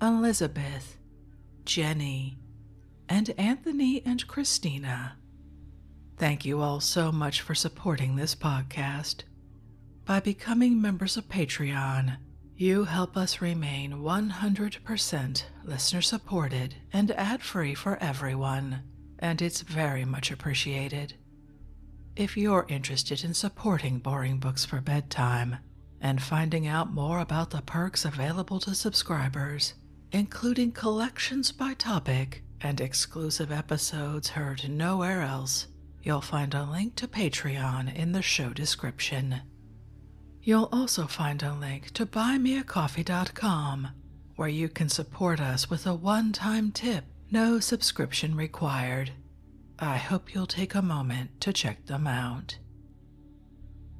Elizabeth, Jenny, and Anthony and Christina. Thank you all so much for supporting this podcast. By becoming members of Patreon, you help us remain 100% listener supported and ad free for everyone, and it's very much appreciated. If you're interested in supporting Boring Books for Bedtime, and finding out more about the perks available to subscribers, including collections by topic and exclusive episodes heard nowhere else, you'll find a link to Patreon in the show description. You'll also find a link to buymeacoffee.com where you can support us with a one time tip, no subscription required. I hope you'll take a moment to check them out.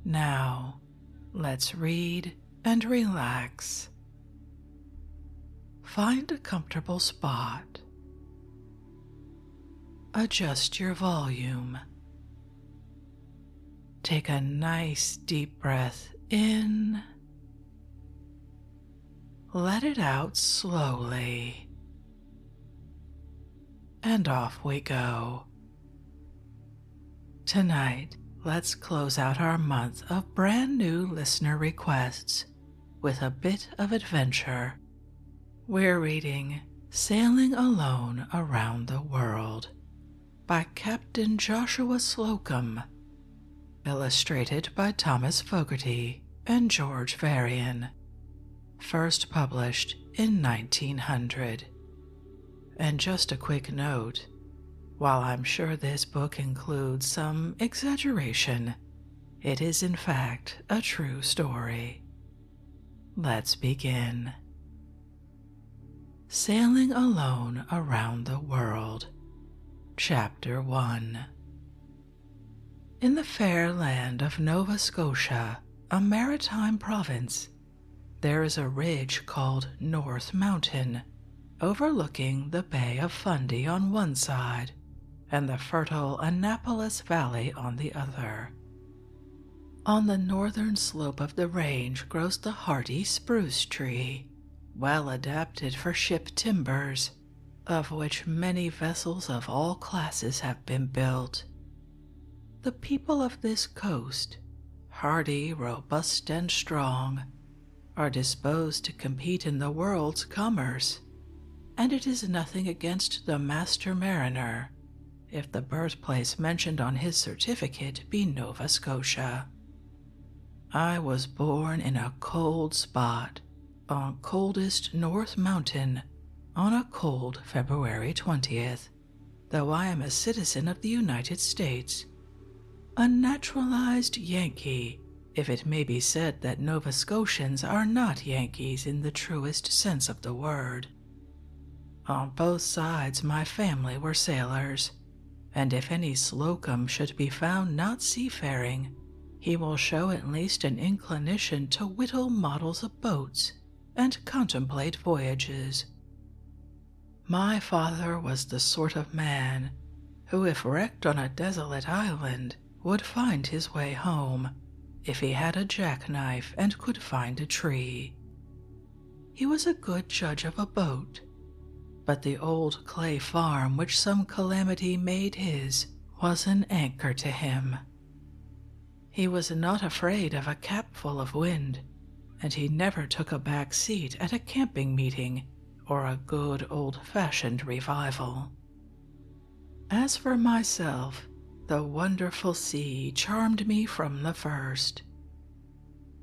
Now, let's read and relax. Find a comfortable spot. Adjust your volume. Take a nice deep breath in. Let it out slowly and off we go. Tonight, let's close out our month of brand new listener requests with a bit of adventure. We're reading Sailing Alone Around the World by Captain Joshua Slocum, illustrated by Thomas Fogarty and George Varian first published in 1900. And just a quick note while I'm sure this book includes some exaggeration, it is in fact a true story. Let's begin. Sailing Alone Around the World, Chapter 1 In the fair land of Nova Scotia a maritime province, there is a ridge called North Mountain, overlooking the Bay of Fundy on one side and the fertile Annapolis Valley on the other. On the northern slope of the range grows the hardy spruce tree, well adapted for ship timbers, of which many vessels of all classes have been built the people of this coast, hardy, robust, and strong, are disposed to compete in the world's commerce, and it is nothing against the master mariner if the birthplace mentioned on his certificate be Nova Scotia. I was born in a cold spot on coldest North Mountain on a cold February 20th, though I am a citizen of the United States. A naturalized Yankee, if it may be said that Nova Scotians are not Yankees in the truest sense of the word. On both sides, my family were sailors, and if any Slocum should be found not seafaring, he will show at least an inclination to whittle models of boats and contemplate voyages. My father was the sort of man who, if wrecked on a desolate island, would find his way home if he had a jackknife and could find a tree. He was a good judge of a boat, but the old clay farm which some calamity made his was an anchor to him. He was not afraid of a capful of wind, and he never took a back seat at a camping meeting or a good old fashioned revival. As for myself, the wonderful sea charmed me from the first.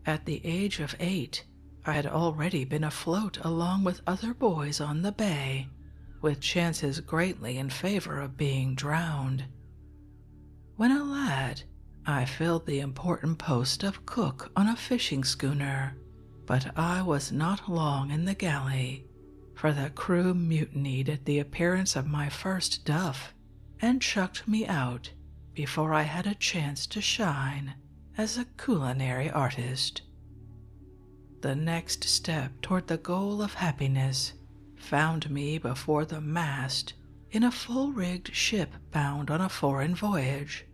At the age of eight, I had already been afloat along with other boys on the bay, with chances greatly in favor of being drowned. When a lad, I filled the important post of cook on a fishing schooner, but I was not long in the galley, for the crew mutinied at the appearance of my first duff and chucked me out before I had a chance to shine as a culinary artist. The next step toward the goal of happiness found me before the mast in a full rigged ship bound on a foreign voyage.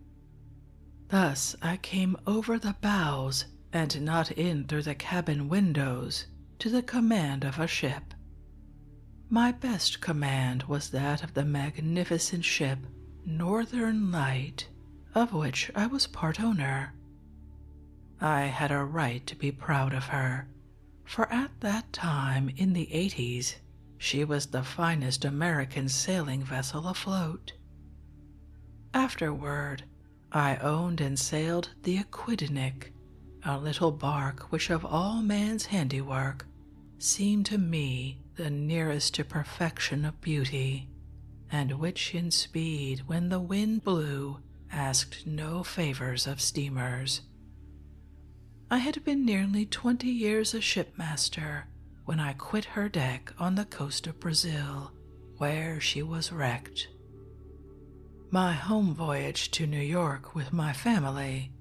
Thus I came over the bows and not in through the cabin windows to the command of a ship. My best command was that of the magnificent ship Northern Light, of which I was part owner. I had a right to be proud of her for at that time in the 80s, she was the finest American sailing vessel afloat. Afterward, I owned and sailed the Aquidneck, a little bark which of all man's handiwork seemed to me the nearest to perfection of beauty, and which in speed, when the wind blew, asked no favors of steamers. I had been nearly 20 years a shipmaster when I quit her deck on the coast of Brazil, where she was wrecked. My home voyage to New York with my family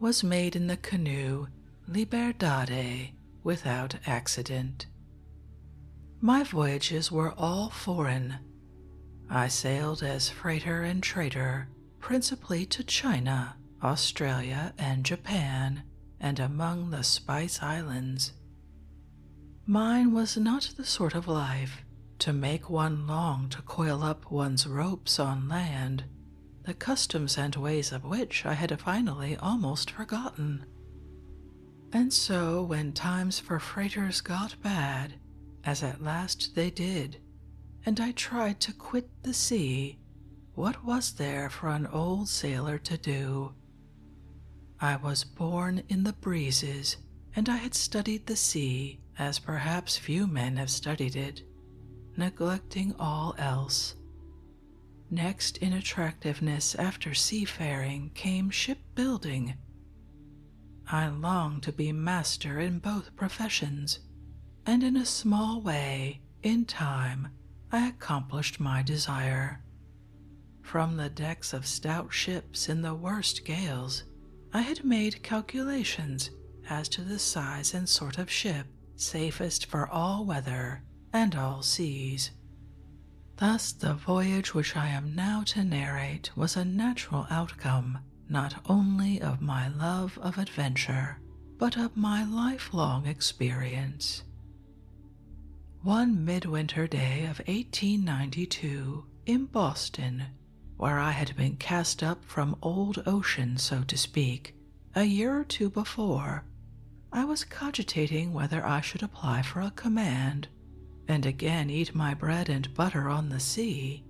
was made in the canoe Liberdade without accident. My voyages were all foreign. I sailed as freighter and trader principally to China, Australia, and Japan, and among the Spice Islands. Mine was not the sort of life to make one long to coil up one's ropes on land, the customs and ways of which I had finally almost forgotten. And so, when times for freighters got bad, as at last they did, and I tried to quit the sea, what was there for an old sailor to do? I was born in the breezes, and I had studied the sea as perhaps few men have studied it, neglecting all else. Next in attractiveness after seafaring came shipbuilding. I longed to be master in both professions, and in a small way, in time, I accomplished my desire. From the decks of stout ships in the worst gales, I had made calculations as to the size and sort of ship safest for all weather and all seas. Thus, the voyage which I am now to narrate was a natural outcome not only of my love of adventure, but of my lifelong experience. One midwinter day of 1892 in Boston, where I had been cast up from old ocean, so to speak, a year or two before, I was cogitating whether I should apply for a command and again eat my bread and butter on the sea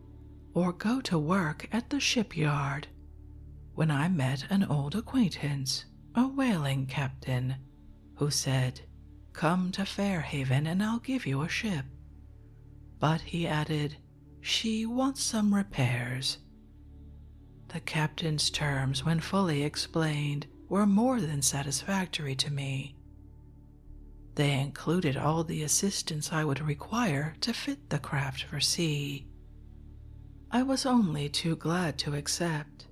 or go to work at the shipyard when I met an old acquaintance, a whaling captain, who said, Come to Fairhaven and I'll give you a ship. But he added, She wants some repairs. The captain's terms, when fully explained, were more than satisfactory to me. They included all the assistance I would require to fit the craft for sea. I was only too glad to accept,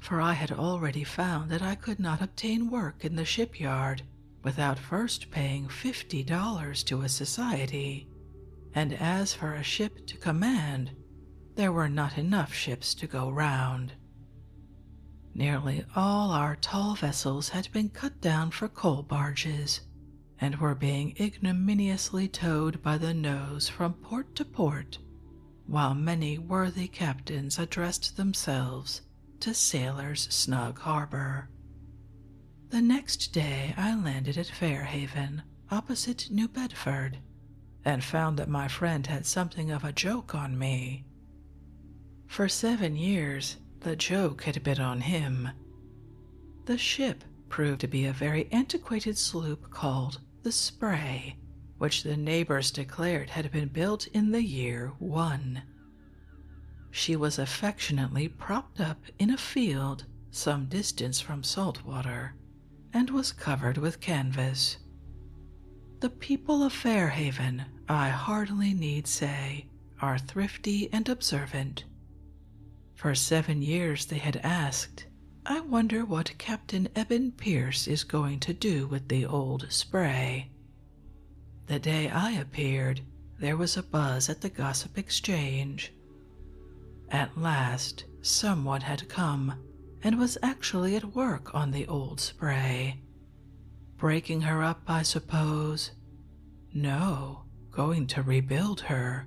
for I had already found that I could not obtain work in the shipyard without first paying fifty dollars to a society, and as for a ship to command, there were not enough ships to go round. Nearly all our tall vessels had been cut down for coal barges, and were being ignominiously towed by the nose from port to port, while many worthy captains addressed themselves to Sailors' Snug Harbor. The next day I landed at Fairhaven, opposite New Bedford, and found that my friend had something of a joke on me. For seven years, the joke had been on him. The ship proved to be a very antiquated sloop called the Spray, which the neighbors declared had been built in the year 1. She was affectionately propped up in a field some distance from salt water and was covered with canvas. The people of Fairhaven, I hardly need say, are thrifty and observant. For seven years they had asked, I wonder what Captain Eben Pierce is going to do with the old spray. The day I appeared, there was a buzz at the gossip exchange. At last, someone had come and was actually at work on the old spray. Breaking her up, I suppose, no, going to rebuild her.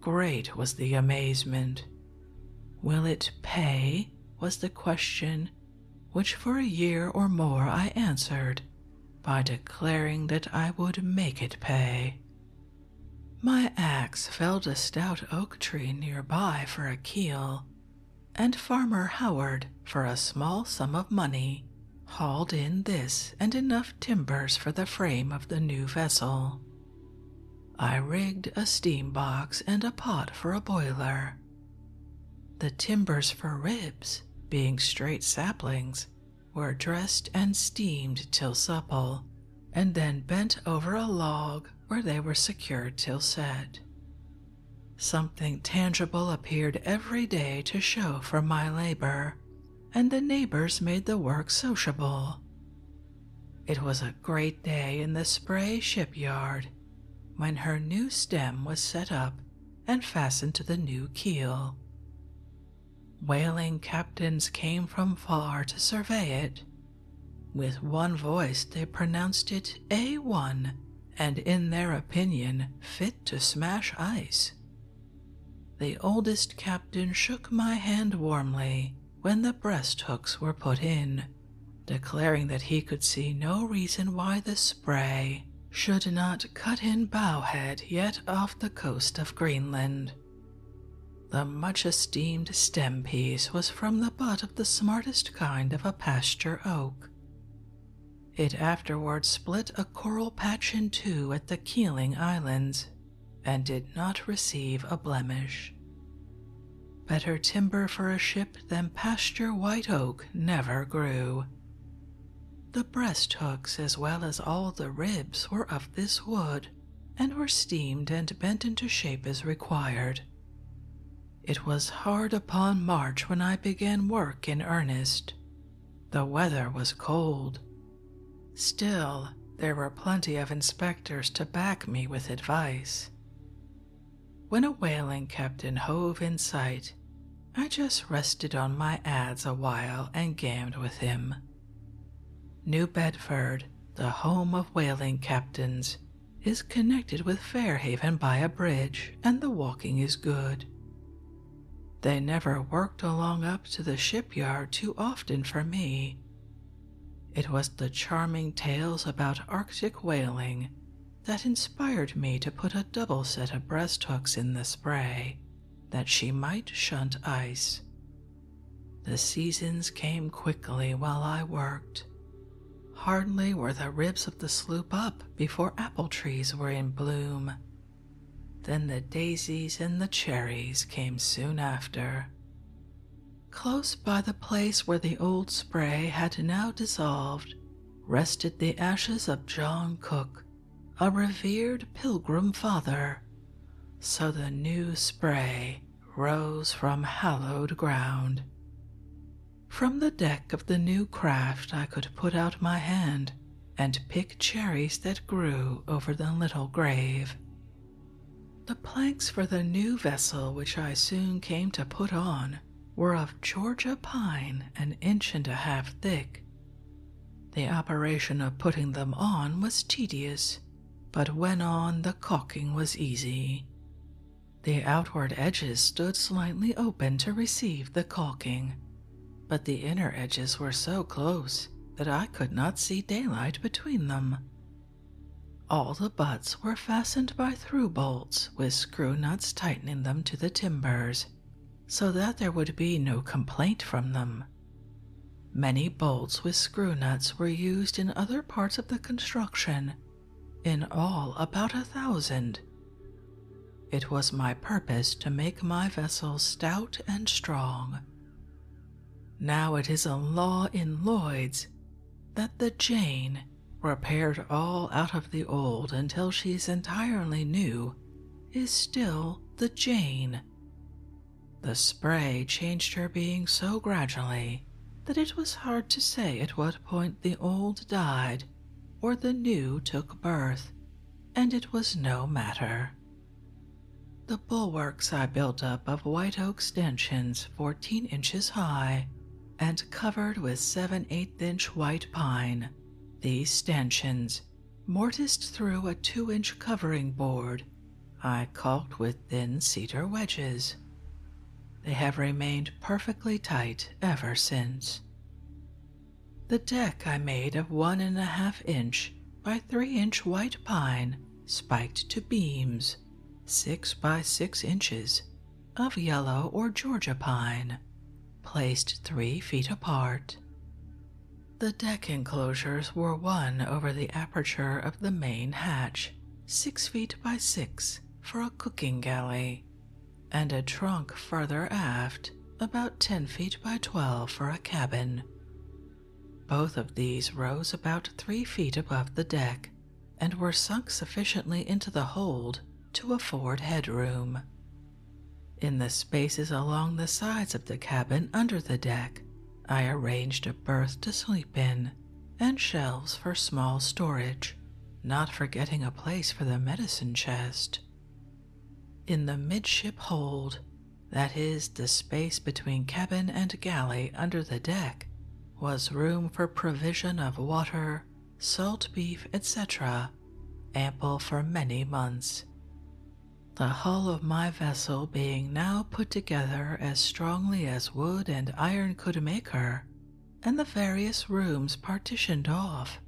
Great was the amazement. Will it pay? was the question, which for a year or more I answered by declaring that I would make it pay. My axe felled a stout oak tree nearby for a keel, and Farmer Howard for a small sum of money hauled in this and enough timbers for the frame of the new vessel. I rigged a steam box and a pot for a boiler. The timbers for ribs, being straight saplings, were dressed and steamed till supple, and then bent over a log where they were secured till set. Something tangible appeared every day to show for my labor, and the neighbors made the work sociable. It was a great day in the Spray shipyard when her new stem was set up and fastened to the new keel. Whaling captains came from far to survey it. With one voice, they pronounced it A1 and, in their opinion, fit to smash ice the oldest captain shook my hand warmly when the breast hooks were put in, declaring that he could see no reason why the spray should not cut in bowhead yet off the coast of Greenland. The much esteemed stem piece was from the butt of the smartest kind of a pasture oak. It afterwards split a coral patch in two at the Keeling Islands and did not receive a blemish. Better timber for a ship than pasture white oak never grew. The breast hooks, as well as all the ribs, were of this wood and were steamed and bent into shape as required. It was hard upon March when I began work in earnest. The weather was cold, Still, there were plenty of inspectors to back me with advice. When a whaling captain hove in sight, I just rested on my ads a while and gammed with him. New Bedford, the home of whaling captains, is connected with Fairhaven by a bridge, and the walking is good. They never worked along up to the shipyard too often for me. It was the charming tales about Arctic whaling that inspired me to put a double set of breast hooks in the spray that she might shunt ice. The seasons came quickly while I worked. Hardly were the ribs of the sloop up before apple trees were in bloom then the daisies and the cherries came soon after. Close by the place where the old spray had now dissolved rested the ashes of John Cook, a revered pilgrim father. So the new spray rose from hallowed ground. From the deck of the new craft, I could put out my hand and pick cherries that grew over the little grave. The planks for the new vessel, which I soon came to put on, were of Georgia pine an inch and a half thick. The operation of putting them on was tedious, but when on, the caulking was easy. The outward edges stood slightly open to receive the caulking, but the inner edges were so close that I could not see daylight between them. All the butts were fastened by through bolts with screw nuts tightening them to the timbers so that there would be no complaint from them. Many bolts with screw nuts were used in other parts of the construction, in all about a thousand. It was my purpose to make my vessel stout and strong now it is a law in Lloyd's that the Jane repaired all out of the old until she's entirely new, is still the Jane. The spray changed her being so gradually that it was hard to say at what point the old died or the new took birth, and it was no matter. The bulwarks I built up of white oak stanchions 14 inches high and covered with 7 8 inch white pine. These stanchions, mortised through a 2 inch covering board, I caulked with thin cedar wedges. They have remained perfectly tight ever since. The deck I made of one and a half inch by three inch white pine, spiked to beams, six by six inches, of yellow or Georgia pine, placed three feet apart. The deck enclosures were one over the aperture of the main hatch, six feet by six, for a cooking galley, and a trunk further aft, about ten feet by twelve, for a cabin. Both of these rose about three feet above the deck and were sunk sufficiently into the hold to afford headroom. In the spaces along the sides of the cabin under the deck, I arranged a berth to sleep in and shelves for small storage, not forgetting a place for the medicine chest. In the midship hold, that is, the space between cabin and galley under the deck was room for provision of water, salt beef, etc., ample for many months. The hull of my vessel being now put together as strongly as wood and iron could make her, and the various rooms partitioned off,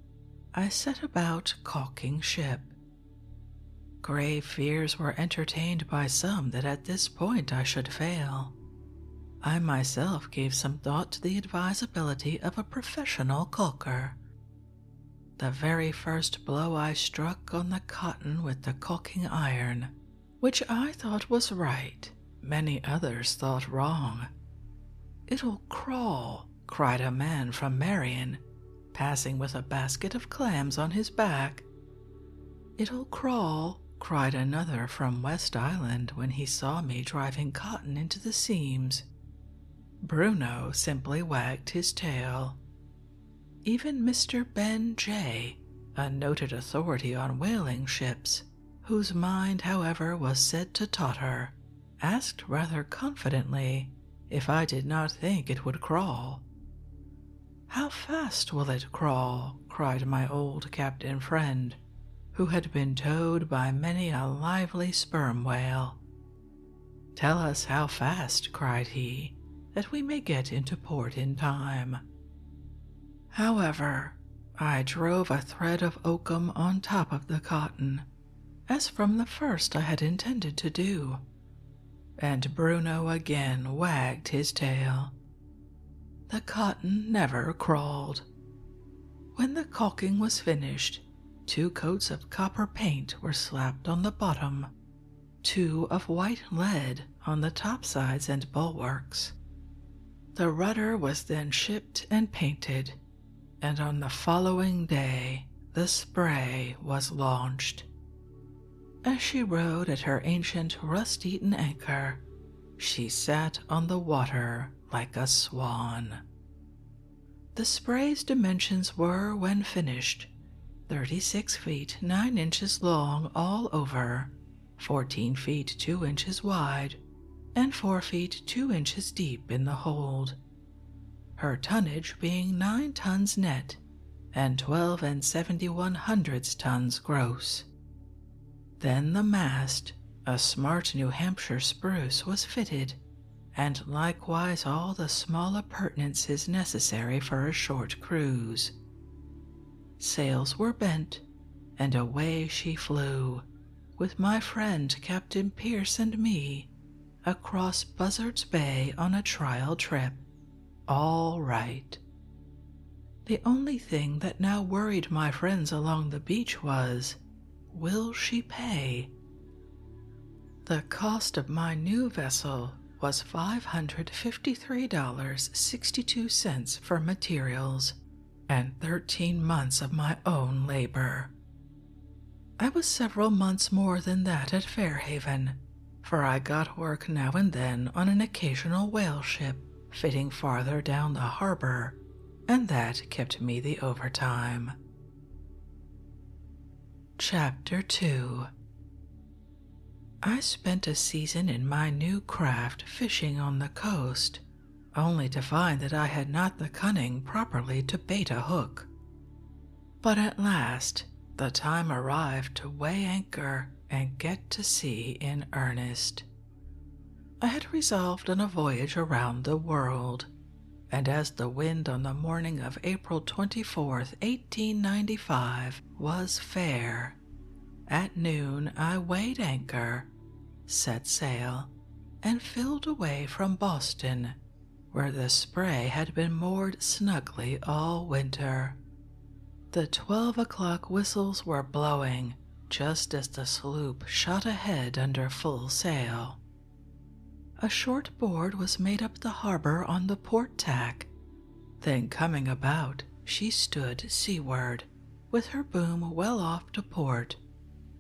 I set about caulking ship. Grave fears were entertained by some that at this point I should fail. I myself gave some thought to the advisability of a professional calker. The very first blow I struck on the cotton with the calking iron, which I thought was right, many others thought wrong. It'll crawl, cried a man from Marion, passing with a basket of clams on his back. It'll crawl, cried another from West Island when he saw me driving cotton into the seams. Bruno simply wagged his tail. Even Mr. Ben J., a noted authority on whaling ships, whose mind, however, was said to totter, asked rather confidently, if I did not think it would crawl. How fast will it crawl? cried my old captain friend, who had been towed by many a lively sperm whale. Tell us how fast, cried he, that we may get into port in time. However, I drove a thread of oakum on top of the cotton, as from the first I had intended to do, and Bruno again wagged his tail. The cotton never crawled. When the caulking was finished, two coats of copper paint were slapped on the bottom, two of white lead on the topsides and bulwarks. The rudder was then shipped and painted, and on the following day the spray was launched. As she rode at her ancient rust eaten anchor, she sat on the water like a swan. The spray's dimensions were, when finished, 36 feet 9 inches long all over, 14 feet 2 inches wide, and 4 feet 2 inches deep in the hold, her tonnage being 9 tons net and 12 and 71 hundredths tons gross. Then the mast, a smart New Hampshire spruce, was fitted, and likewise all the small appurtenances necessary for a short cruise. Sails were bent, and away she flew, with my friend Captain Pierce and me, across Buzzards Bay on a trial trip. All right. The only thing that now worried my friends along the beach was will she pay? The cost of my new vessel was $553.62 for materials and 13 months of my own labor. I was several months more than that at Fairhaven, for I got work now and then on an occasional whale ship fitting farther down the harbor, and that kept me the overtime. Chapter 2 I spent a season in my new craft fishing on the coast, only to find that I had not the cunning properly to bait a hook. But at last the time arrived to weigh anchor and get to sea in earnest. I had resolved on a voyage around the world, and as the wind on the morning of April 24, 1895, was fair, at noon I weighed anchor, set sail, and filled away from Boston, where the spray had been moored snugly all winter. The twelve o'clock whistles were blowing just as the sloop shot ahead under full sail. A short board was made up the harbor on the port tack. Then, coming about, she stood seaward, with her boom well off to port,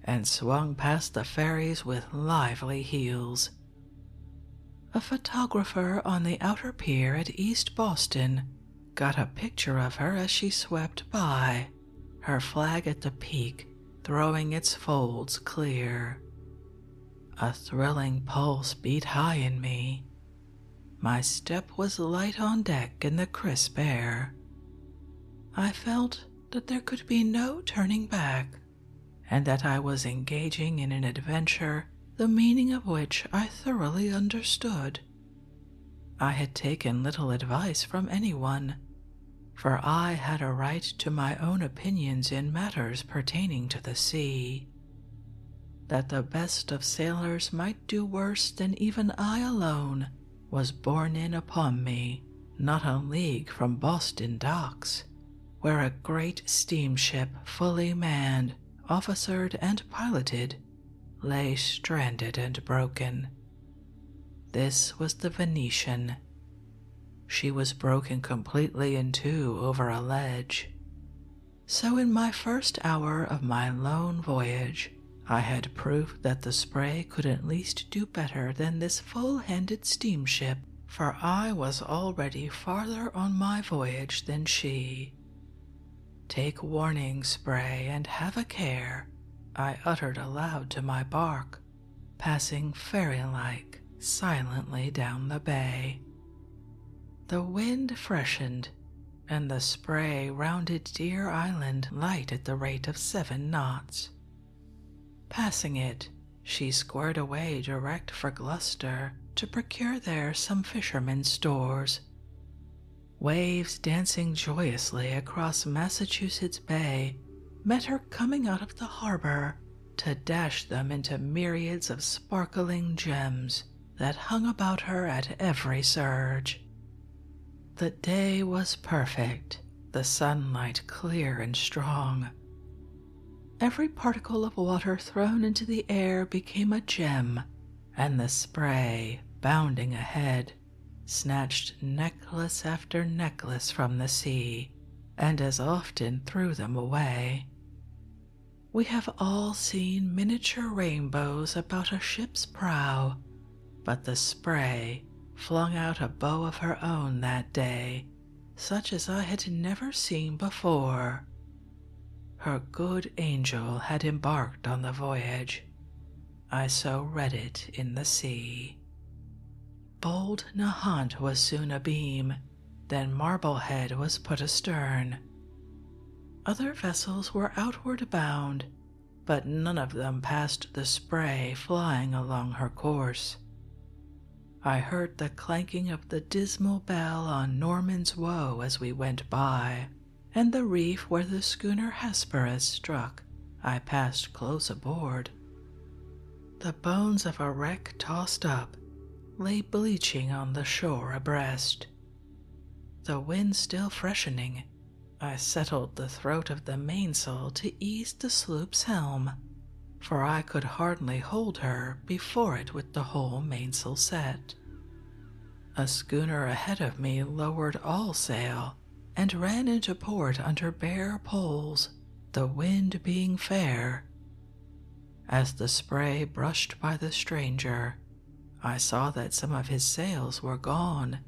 and swung past the ferries with lively heels. A photographer on the outer pier at East Boston got a picture of her as she swept by, her flag at the peak throwing its folds clear. A thrilling pulse beat high in me. My step was light on deck in the crisp air. I felt that there could be no turning back, and that I was engaging in an adventure the meaning of which I thoroughly understood. I had taken little advice from anyone, for I had a right to my own opinions in matters pertaining to the sea. That the best of sailors might do worse than even I alone was borne in upon me, not a league from Boston docks, where a great steamship fully manned officered, and piloted, lay stranded and broken. This was the Venetian. She was broken completely in two over a ledge. So, in my first hour of my lone voyage, I had proof that the spray could at least do better than this full handed steamship, for I was already farther on my voyage than she. Take warning, Spray, and have a care, I uttered aloud to my bark, passing fairy like silently down the bay. The wind freshened, and the spray rounded Deer Island light at the rate of seven knots. Passing it, she squared away direct for Gloucester, to procure there some fishermen's stores. Waves dancing joyously across Massachusetts Bay met her coming out of the harbor to dash them into myriads of sparkling gems that hung about her at every surge. The day was perfect, the sunlight clear and strong, Every particle of water thrown into the air became a gem, and the spray, bounding ahead, snatched necklace after necklace from the sea, and as often threw them away. We have all seen miniature rainbows about a ship's prow, but the spray flung out a bow of her own that day, such as I had never seen before, her good angel had embarked on the voyage. I so read it in the sea. Bold Nahant was soon abeam, then Marblehead was put astern. Other vessels were outward bound, but none of them passed the spray flying along her course. I heard the clanking of the dismal bell on Norman's Woe as we went by, and the reef where the schooner Hesperus struck, I passed close aboard. The bones of a wreck tossed up lay bleaching on the shore abreast. The wind still freshening, I settled the throat of the mainsail to ease the sloop's helm, for I could hardly hold her before it with the whole mainsail set. A schooner ahead of me lowered all sail and ran into port under bare poles, the wind being fair. As the spray brushed by the stranger, I saw that some of his sails were gone,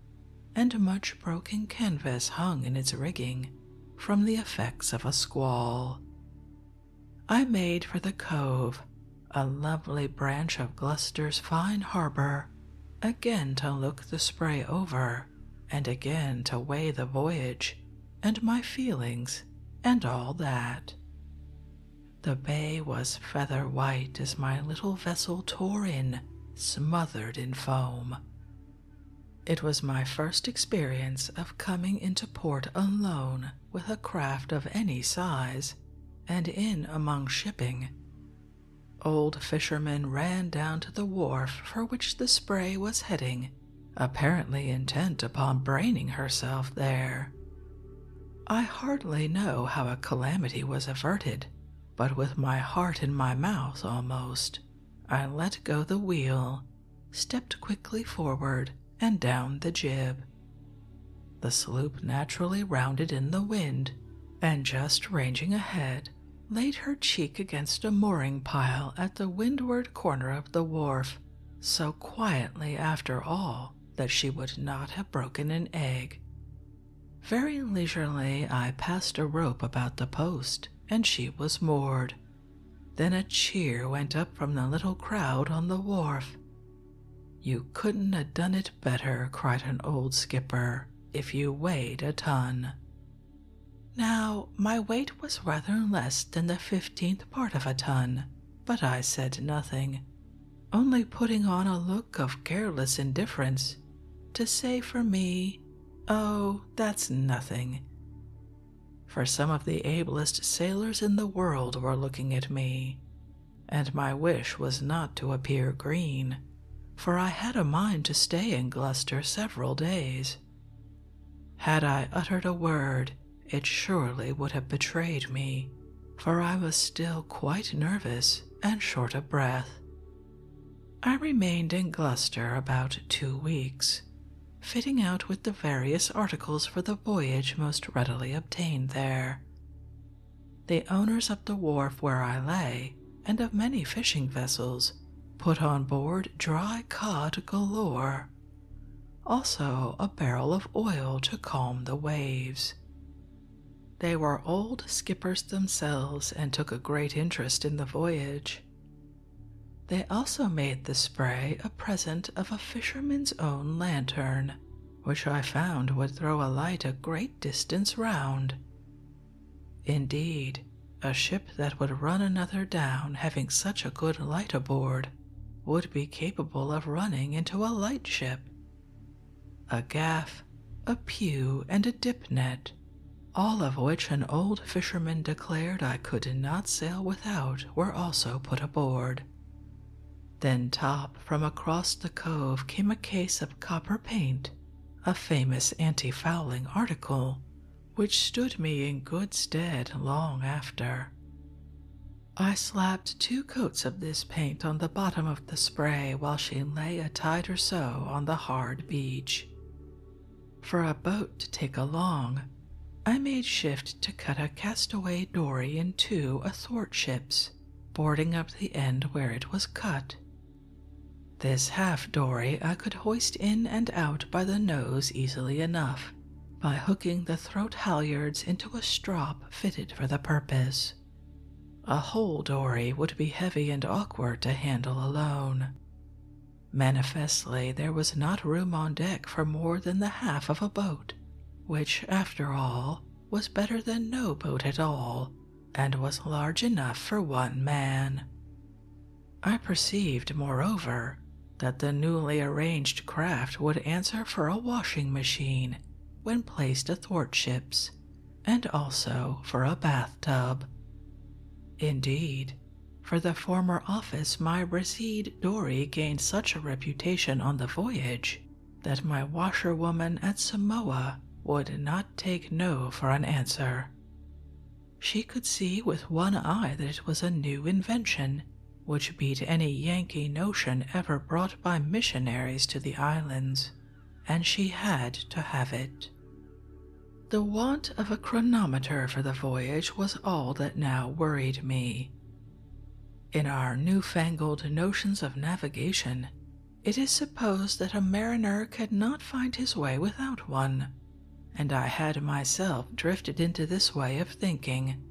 and much broken canvas hung in its rigging from the effects of a squall. I made for the cove, a lovely branch of Gloucester's fine harbor, again to look the spray over, and again to weigh the voyage, and my feelings, and all that. The bay was feather white as my little vessel tore in, smothered in foam. It was my first experience of coming into port alone with a craft of any size and in among shipping. Old fishermen ran down to the wharf for which the spray was heading, apparently intent upon braining herself there. I hardly know how a calamity was averted, but with my heart in my mouth almost, I let go the wheel, stepped quickly forward, and down the jib. The sloop naturally rounded in the wind, and just ranging ahead, laid her cheek against a mooring pile at the windward corner of the wharf, so quietly after all that she would not have broken an egg. Very leisurely I passed a rope about the post, and she was moored. Then a cheer went up from the little crowd on the wharf, you couldn't a done it better, cried an old skipper, if you weighed a ton. Now, my weight was rather less than the fifteenth part of a ton, but I said nothing, only putting on a look of careless indifference to say for me, Oh, that's nothing. For some of the ablest sailors in the world were looking at me, and my wish was not to appear green, for I had a mind to stay in Gloucester several days. Had I uttered a word, it surely would have betrayed me, for I was still quite nervous and short of breath. I remained in Gloucester about two weeks, fitting out with the various articles for the voyage most readily obtained there. The owners of the wharf where I lay, and of many fishing vessels, put on board dry cod galore, also a barrel of oil to calm the waves. They were old skippers themselves and took a great interest in the voyage. They also made the spray a present of a fisherman's own lantern, which I found would throw a light a great distance round. Indeed, a ship that would run another down having such a good light aboard would be capable of running into a lightship. A gaff, a pew, and a dip net, all of which an old fisherman declared I could not sail without, were also put aboard. Then, top from across the cove came a case of copper paint, a famous anti fouling article, which stood me in good stead long after. I slapped two coats of this paint on the bottom of the spray while she lay a tide or so on the hard beach. For a boat to take along, I made shift to cut a castaway dory in two athwartships boarding up the end where it was cut. This half dory I could hoist in and out by the nose easily enough by hooking the throat halyards into a strop fitted for the purpose. A whole dory would be heavy and awkward to handle alone. Manifestly, there was not room on deck for more than the half of a boat, which, after all, was better than no boat at all, and was large enough for one man. I perceived, moreover, that the newly arranged craft would answer for a washing machine when placed athwartships, and also for a bathtub. Indeed, for the former office my recede dory gained such a reputation on the voyage that my washerwoman at Samoa would not take no for an answer. She could see with one eye that it was a new invention, which beat any Yankee notion ever brought by missionaries to the islands, and she had to have it. The want of a chronometer for the voyage was all that now worried me. In our newfangled notions of navigation, it is supposed that a mariner could not find his way without one, and I had myself drifted into this way of thinking.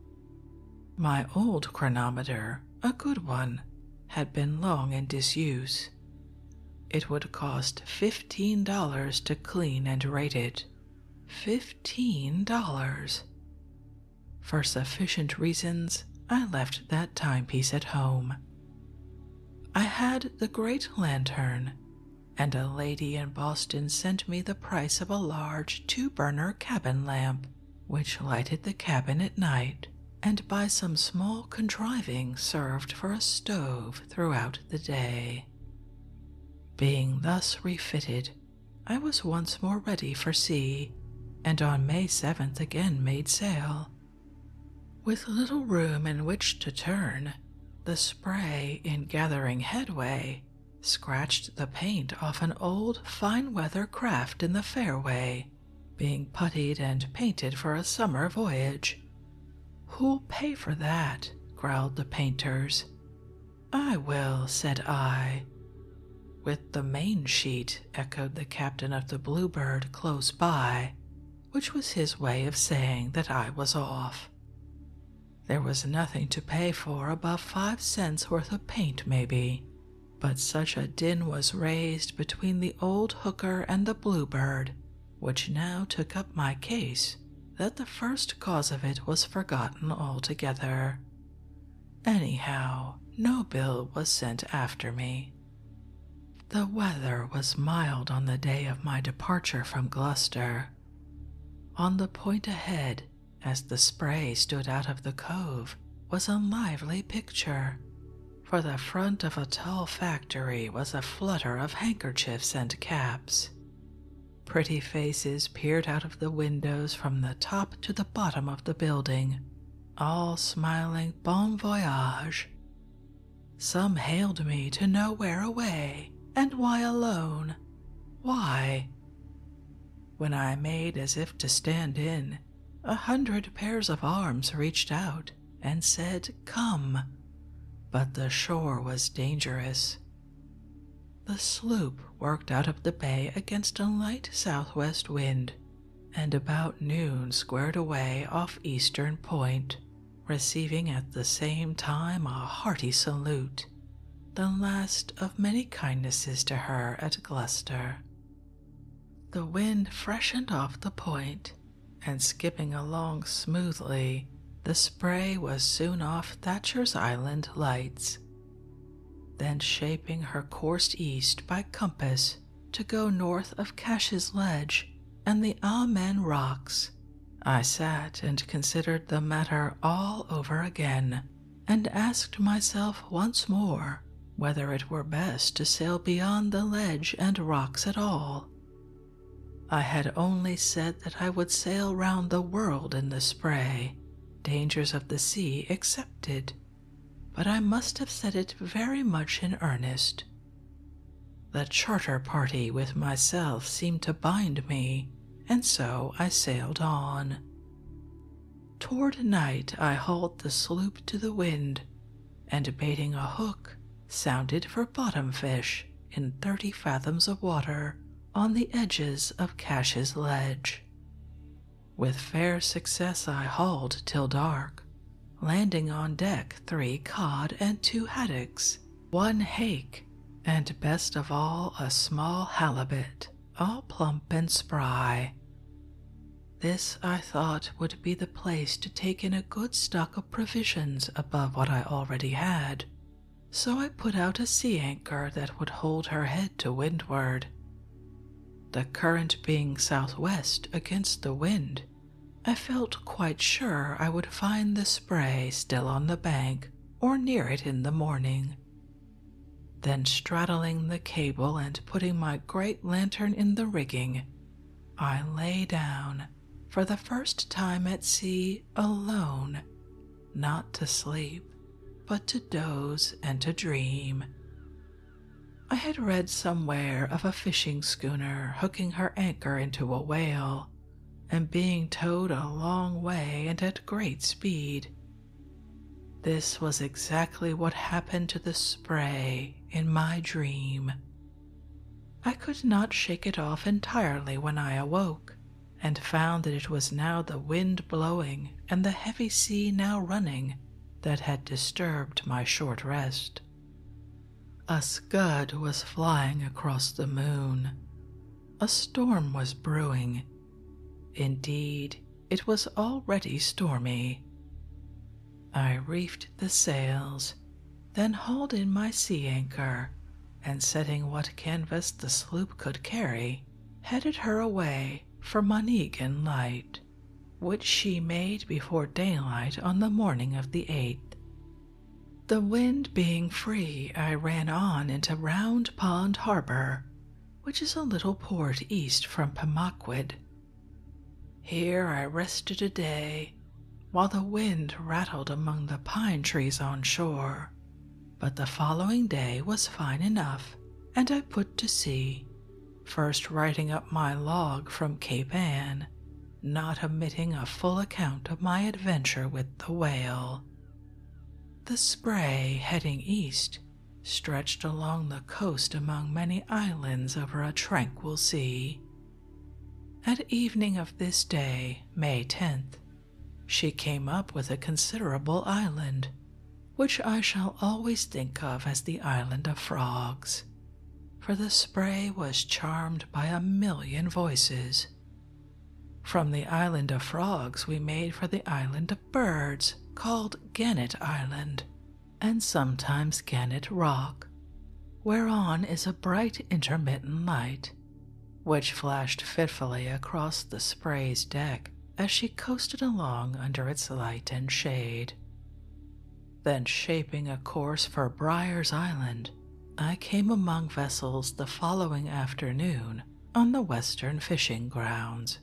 My old chronometer, a good one, had been long in disuse. It would cost fifteen dollars to clean and rate it. Fifteen dollars! For sufficient reasons, I left that timepiece at home. I had the great lantern, and a lady in Boston sent me the price of a large two burner cabin lamp, which lighted the cabin at night and by some small contriving served for a stove throughout the day. Being thus refitted, I was once more ready for sea, and on May 7th again made sail. With little room in which to turn, the spray, in gathering headway, scratched the paint off an old fine weather craft in the fairway, being puttied and painted for a summer voyage. Who'll pay for that? growled the painters. I will, said I. With the main sheet echoed the captain of the Bluebird close by, which was his way of saying that I was off. There was nothing to pay for above five cents worth of paint, maybe, but such a din was raised between the old hooker and the Bluebird, which now took up my case, that the first cause of it was forgotten altogether. Anyhow, no bill was sent after me. The weather was mild on the day of my departure from Gloucester. On the point ahead, as the spray stood out of the cove, was a lively picture, for the front of a tall factory was a flutter of handkerchiefs and caps. Pretty faces peered out of the windows from the top to the bottom of the building, all smiling bon voyage. Some hailed me to nowhere away and why alone. Why? When I made as if to stand in, a hundred pairs of arms reached out and said, Come. But the shore was dangerous. The sloop worked out of the bay against a light southwest wind, and about noon squared away off Eastern Point, receiving at the same time a hearty salute, the last of many kindnesses to her at Gloucester. The wind freshened off the point, and skipping along smoothly, the spray was soon off Thatcher's Island lights then shaping her course east by compass to go north of Cash's Ledge and the Amen Rocks. I sat and considered the matter all over again, and asked myself once more whether it were best to sail beyond the ledge and rocks at all. I had only said that I would sail round the world in the spray, dangers of the sea excepted, but I must have said it very much in earnest. The charter party with myself seemed to bind me, and so I sailed on. Toward night I hauled the sloop to the wind, and baiting a hook, sounded for bottom fish in thirty fathoms of water on the edges of Cache's Ledge. With fair success, I hauled till dark, landing on deck three cod and two haddocks, one hake, and best of all, a small halibut, all plump and spry. This I thought would be the place to take in a good stock of provisions above what I already had, so I put out a sea anchor that would hold her head to windward, the current being southwest against the wind, I felt quite sure I would find the spray still on the bank or near it in the morning. Then, straddling the cable and putting my great lantern in the rigging, I lay down for the first time at sea alone, not to sleep, but to doze and to dream, I had read somewhere of a fishing schooner hooking her anchor into a whale and being towed a long way and at great speed. This was exactly what happened to the spray in my dream. I could not shake it off entirely when I awoke, and found that it was now the wind blowing and the heavy sea now running that had disturbed my short rest. A scud was flying across the moon. A storm was brewing. Indeed, it was already stormy. I reefed the sails, then hauled in my sea anchor, and setting what canvas the sloop could carry, headed her away for Monegan Light which she made before daylight on the morning of the 8th. The wind being free, I ran on into Round Pond Harbor, which is a little port east from Pemaquid. Here I rested a day while the wind rattled among the pine trees on shore, but the following day was fine enough, and I put to sea, first writing up my log from Cape Ann, not omitting a full account of my adventure with the whale. The spray heading east stretched along the coast among many islands over a tranquil sea. At evening of this day, May 10th, she came up with a considerable island, which I shall always think of as the Island of Frogs, for the spray was charmed by a million voices. From the Island of Frogs, we made for the Island of Birds, called Gannet Island, and sometimes Gannet Rock, whereon is a bright intermittent light, which flashed fitfully across the spray's deck as she coasted along under its light and shade. Then, shaping a course for Briar's Island, I came among vessels the following afternoon on the western fishing grounds.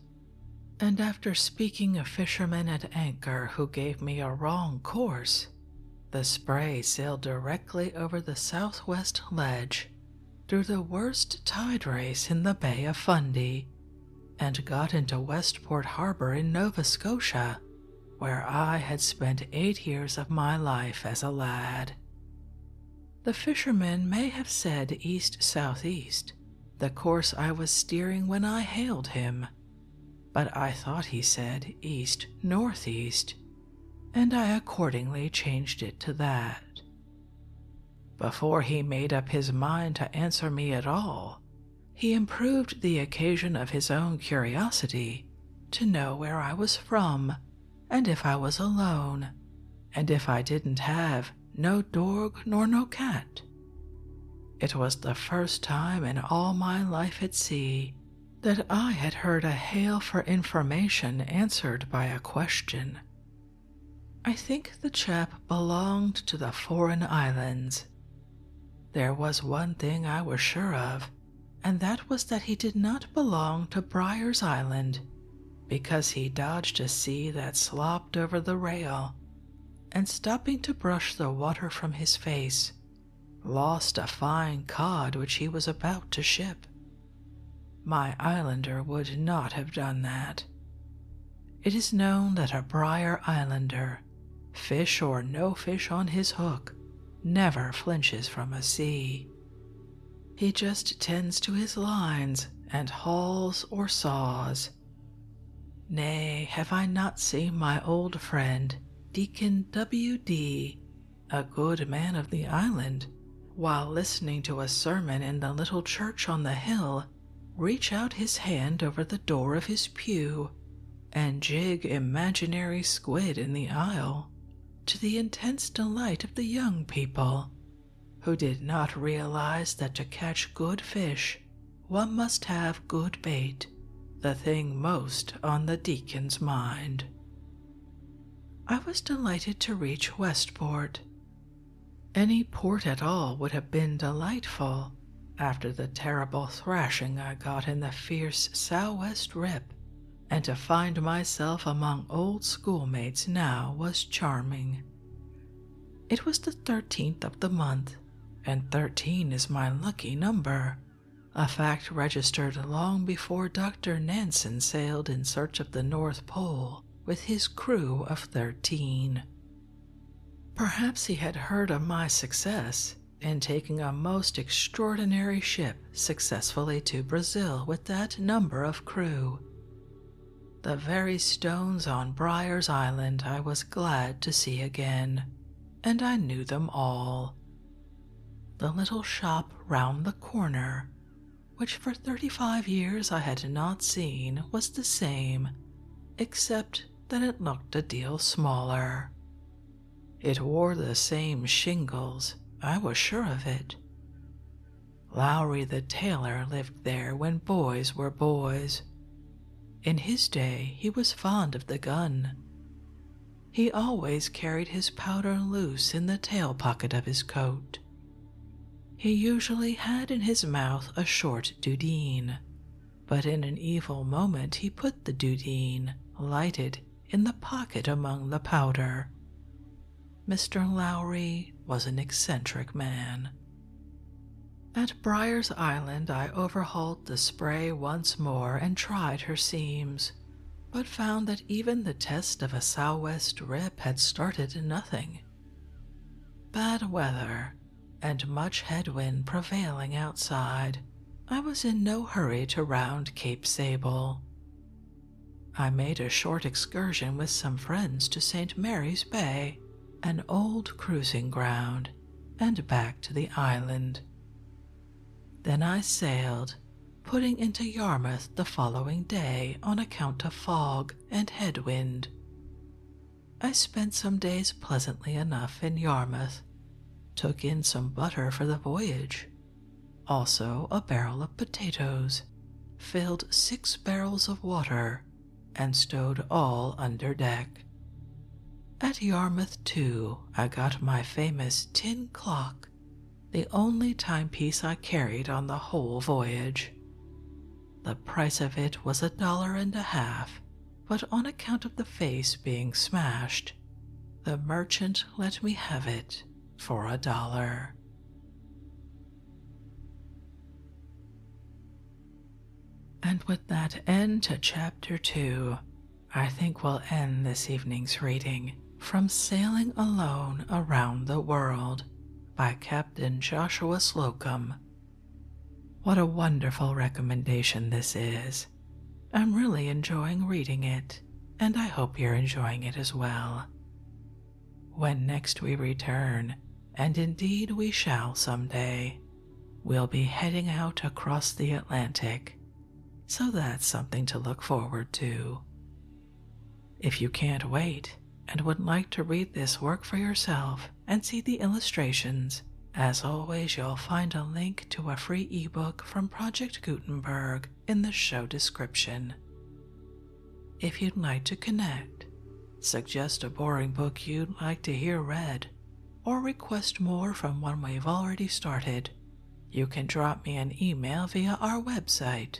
And after speaking a fisherman at anchor who gave me a wrong course, the spray sailed directly over the southwest ledge through the worst tide race in the Bay of Fundy and got into Westport Harbor in Nova Scotia, where I had spent eight years of my life as a lad. The fisherman may have said east south east the course I was steering when I hailed him, but I thought he said east northeast, and I accordingly changed it to that. Before he made up his mind to answer me at all, he improved the occasion of his own curiosity to know where I was from and if I was alone, and if I didn't have no dog nor no cat. It was the first time in all my life at sea that I had heard a hail for information answered by a question. I think the chap belonged to the foreign islands there was one thing I was sure of, and that was that he did not belong to Briar's Island, because he dodged a sea that slopped over the rail, and stopping to brush the water from his face, lost a fine cod which he was about to ship. My islander would not have done that. It is known that a Briar Islander fish or no fish on his hook, never flinches from a sea. He just tends to his lines and hauls or saws. Nay, have I not seen my old friend, Deacon W. D., a good man of the island, while listening to a sermon in the little church on the hill, reach out his hand over the door of his pew and jig imaginary squid in the aisle, to the intense delight of the young people, who did not realize that to catch good fish one must have good bait, the thing most on the deacon's mind. I was delighted to reach Westport. Any port at all would have been delightful, after the terrible thrashing I got in the fierce sou'west rip, and to find myself among old schoolmates now was charming. It was the 13th of the month, and 13 is my lucky number, a fact registered long before Dr. Nansen sailed in search of the North Pole with his crew of 13. Perhaps he had heard of my success in taking a most extraordinary ship successfully to Brazil with that number of crew. The very stones on Briar's Island I was glad to see again, and I knew them all. The little shop round the corner, which for thirty five years I had not seen, was the same, except then it looked a deal smaller. It wore the same shingles, I was sure of it. Lowry the tailor lived there when boys were boys. In his day, he was fond of the gun. He always carried his powder loose in the tail pocket of his coat. He usually had in his mouth a short dudeen, but in an evil moment he put the dudeen, lighted, in the pocket among the powder. Mr. Lowry was an eccentric man. At Briar's Island, I overhauled the spray once more and tried her seams, but found that even the test of a sou'west rip had started nothing. Bad weather, and much headwind prevailing outside, I was in no hurry to round Cape Sable. I made a short excursion with some friends to St. Mary's Bay, an old cruising ground, and back to the island. Then I sailed, putting into Yarmouth the following day on account of fog and headwind. I spent some days pleasantly enough in Yarmouth, took in some butter for the voyage, also a barrel of potatoes, filled six barrels of water, and stowed all under deck. At Yarmouth, too, I got my famous tin clock, the only timepiece I carried on the whole voyage. The price of it was a dollar and a half, but on account of the face being smashed, the merchant let me have it for a dollar. And with that end to chapter 2, I think we'll end this evening's reading from Sailing Alone Around the World by Captain Joshua Slocum what a wonderful recommendation this is. I'm really enjoying reading it, and I hope you're enjoying it as well. When next we return, and indeed we shall someday, we'll be heading out across the Atlantic, so that's something to look forward to. If you can't wait and would like to read this work for yourself, and see the illustrations. As always, you'll find a link to a free ebook from Project Gutenberg in the show description. If you'd like to connect, suggest a boring book you'd like to hear read, or request more from one we've already started, you can drop me an email via our website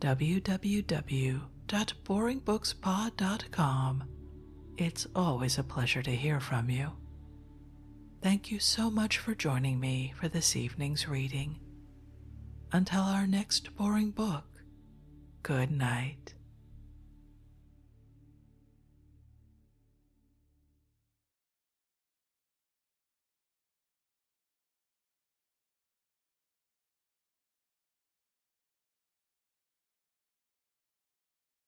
www.boringbookspod.com. It's always a pleasure to hear from you, Thank you so much for joining me for this evening's reading. Until our next boring book, good night.